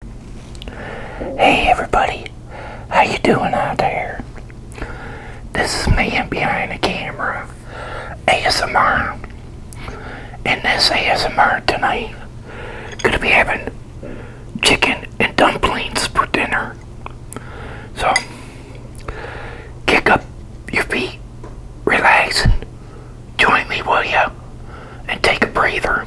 Hey everybody, how you doing out there? This is man behind the camera, ASMR. And this ASMR tonight, gonna be having chicken and dumplings for dinner. So, kick up your feet, relax, and join me, will ya? And take a breather.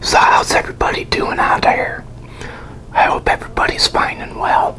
So how's everybody doing out there? I hope everybody's fine and well.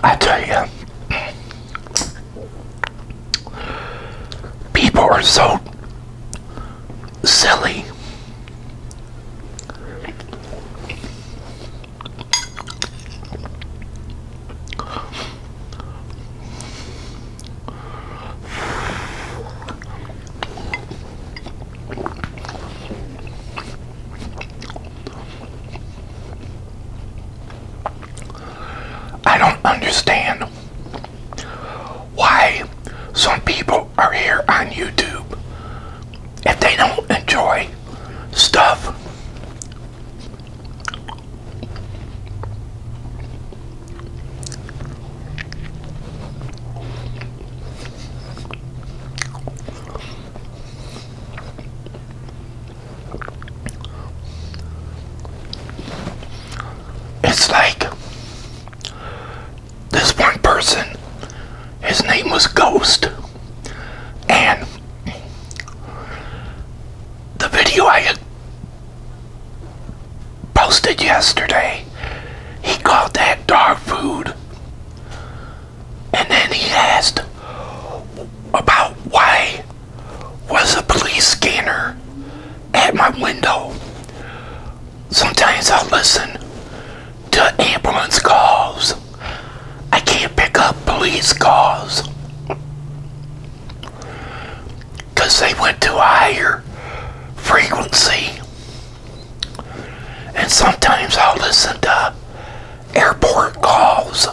I tell you, people are so silly. I don't understand why some people are here on YouTube if they don't enjoy stuff it's like this one person, his name was Ghost, and the video I posted yesterday, he called that dark food. And then he asked about why was a police scanner at my window. Sometimes i listen to ambulance calls. I can't pick up police calls because they went to a higher frequency. And sometimes i listen to airport calls.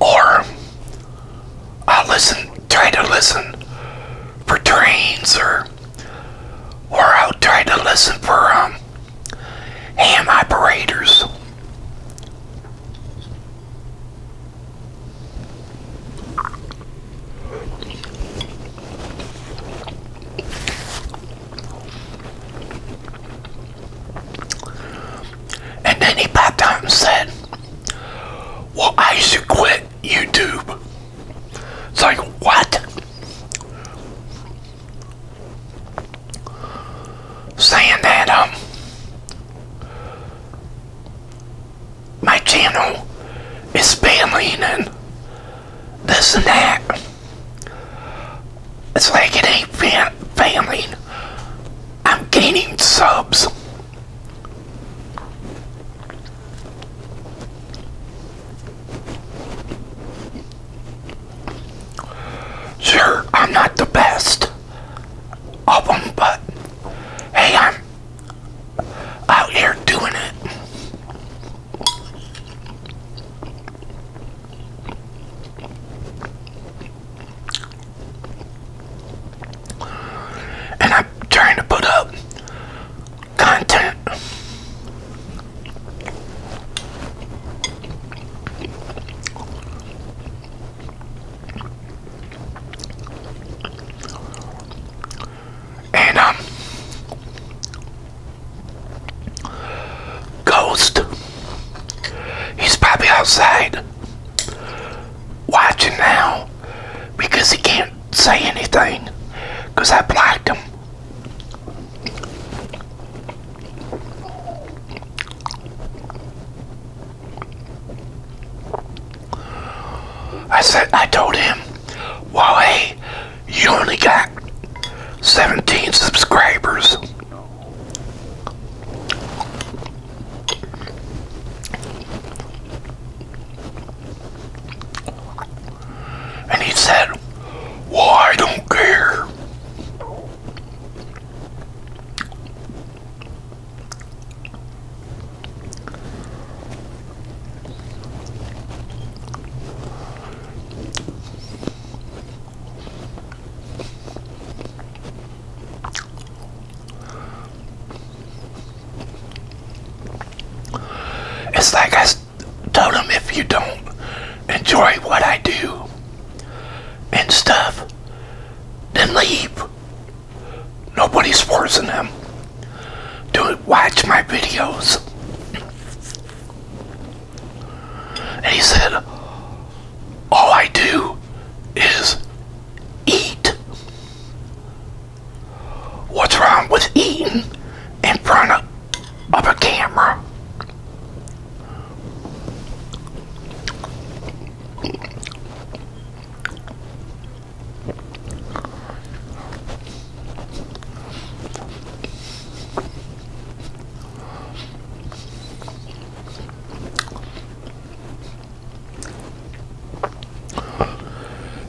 Or I'll listen, try to listen for trains, or or I'll try to listen for um, ham operators. And then he popped out and said, Well, I should quit YouTube. It's like, what? Saying that, um, my channel is spamming and this and that. It's like it ain't fam- failing. I'm gaining subs. Sure, I'm not the best of them, but hey, I'm out here doing it. And I'm trying to put up content. And um Ghost. He's probably outside watching now because he can't say anything because I blocked him. I said, I told him, well, hey, you only got 17 subscribers. And he said, I don't care. It's like I told him if you don't enjoy what I do and stuff, then leave. Nobody's forcing them to watch my videos. And he said, all I do is eat. What's wrong with eating in front of, a camera?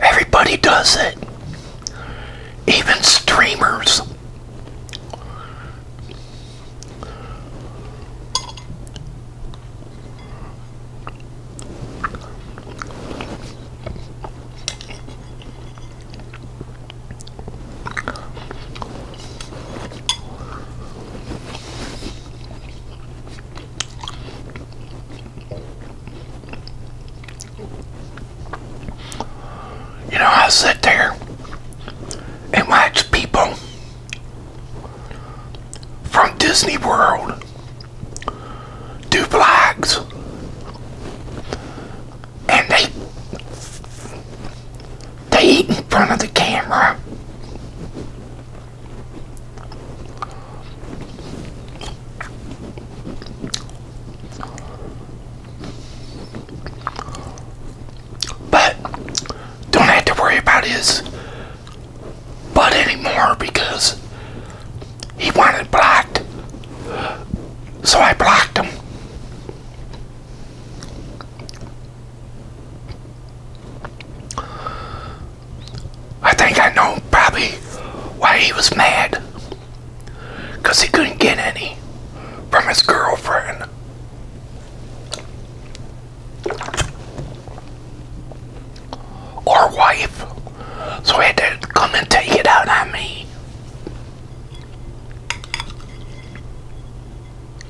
Everybody does it. Even streamers. You know, i sit there and watch people from Disney World do vlogs and they they eat in front of the camera. But don't have to worry about his butt anymore because he wanted blocked. So I blocked him. I think I know probably why he was mad. Because he couldn't get any from his girlfriend. Or wife. So he had to come and take it out on me.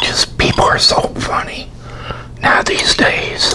Just people are so funny now these days.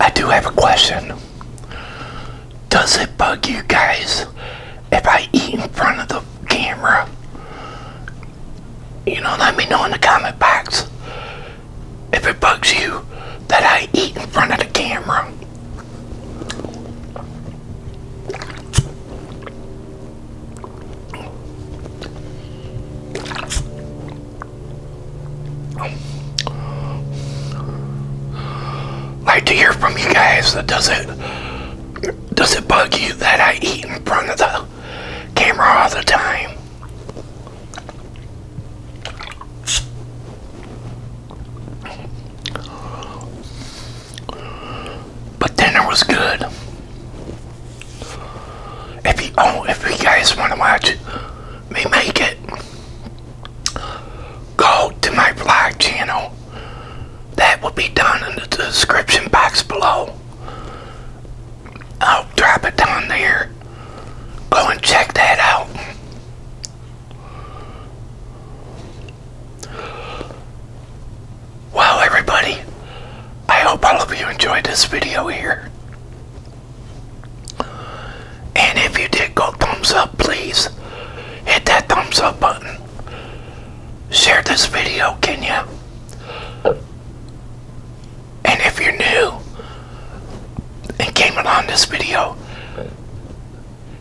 I do have a question. Does it bug you guys if I eat in front of the camera? You know, let me know in the comment box if it bugs you that I eat in front of the camera like to hear from you guys. Does it does it bug you that I eat in front of the camera all the time? But dinner was good. If you oh, if you guys want to watch me make it, go to my vlog channel. That will be down in the description box below. I'll drop it down there. Go and check that out. Well, everybody, I hope all of you enjoyed this video here. And if you did go thumbs up, please hit that thumbs up button. Share this video, can you? And if you're new and came along this video,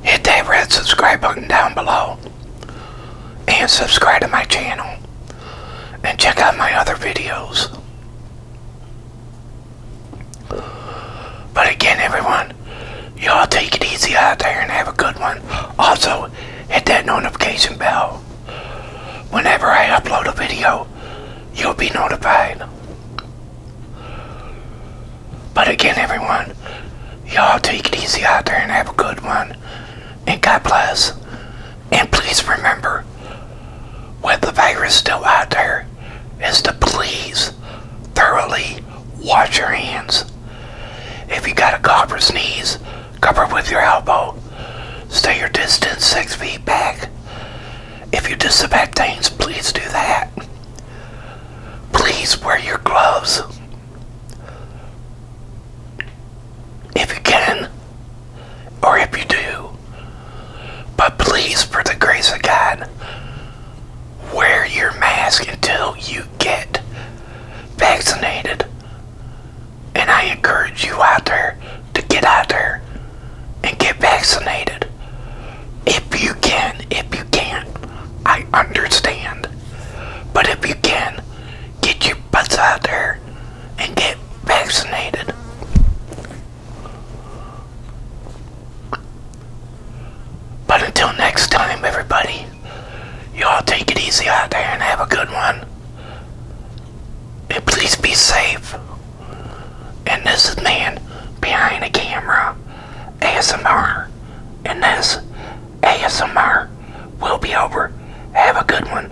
hit that red subscribe button down below and subscribe to my channel and check out my other videos. But again, everyone, y'all take it easy out there and have a good one. Also, hit that notification bell. Whenever I upload a video, you'll be notified. But again, everyone, y'all take it easy out there and have a good one. And God bless. And please remember, with the virus still out there, is to please thoroughly wash your hands. If you got a cough or sneeze, cover with your elbow. Stay your distance six feet back. If you disinfect things, please do that. Please wear your gloves. If you can, or if you do. But please, for the grace of God, wear your mask until you get vaccinated. And I encourage you out there to get out there and get vaccinated. If you can, if you can't, I understand. But if you can, get your butts out there and get vaccinated. But until next time, everybody, y'all take it easy out there and have a good one. And please be safe. And this is Man Behind the Camera ASMR. And this ASMR will be over. Have a good one.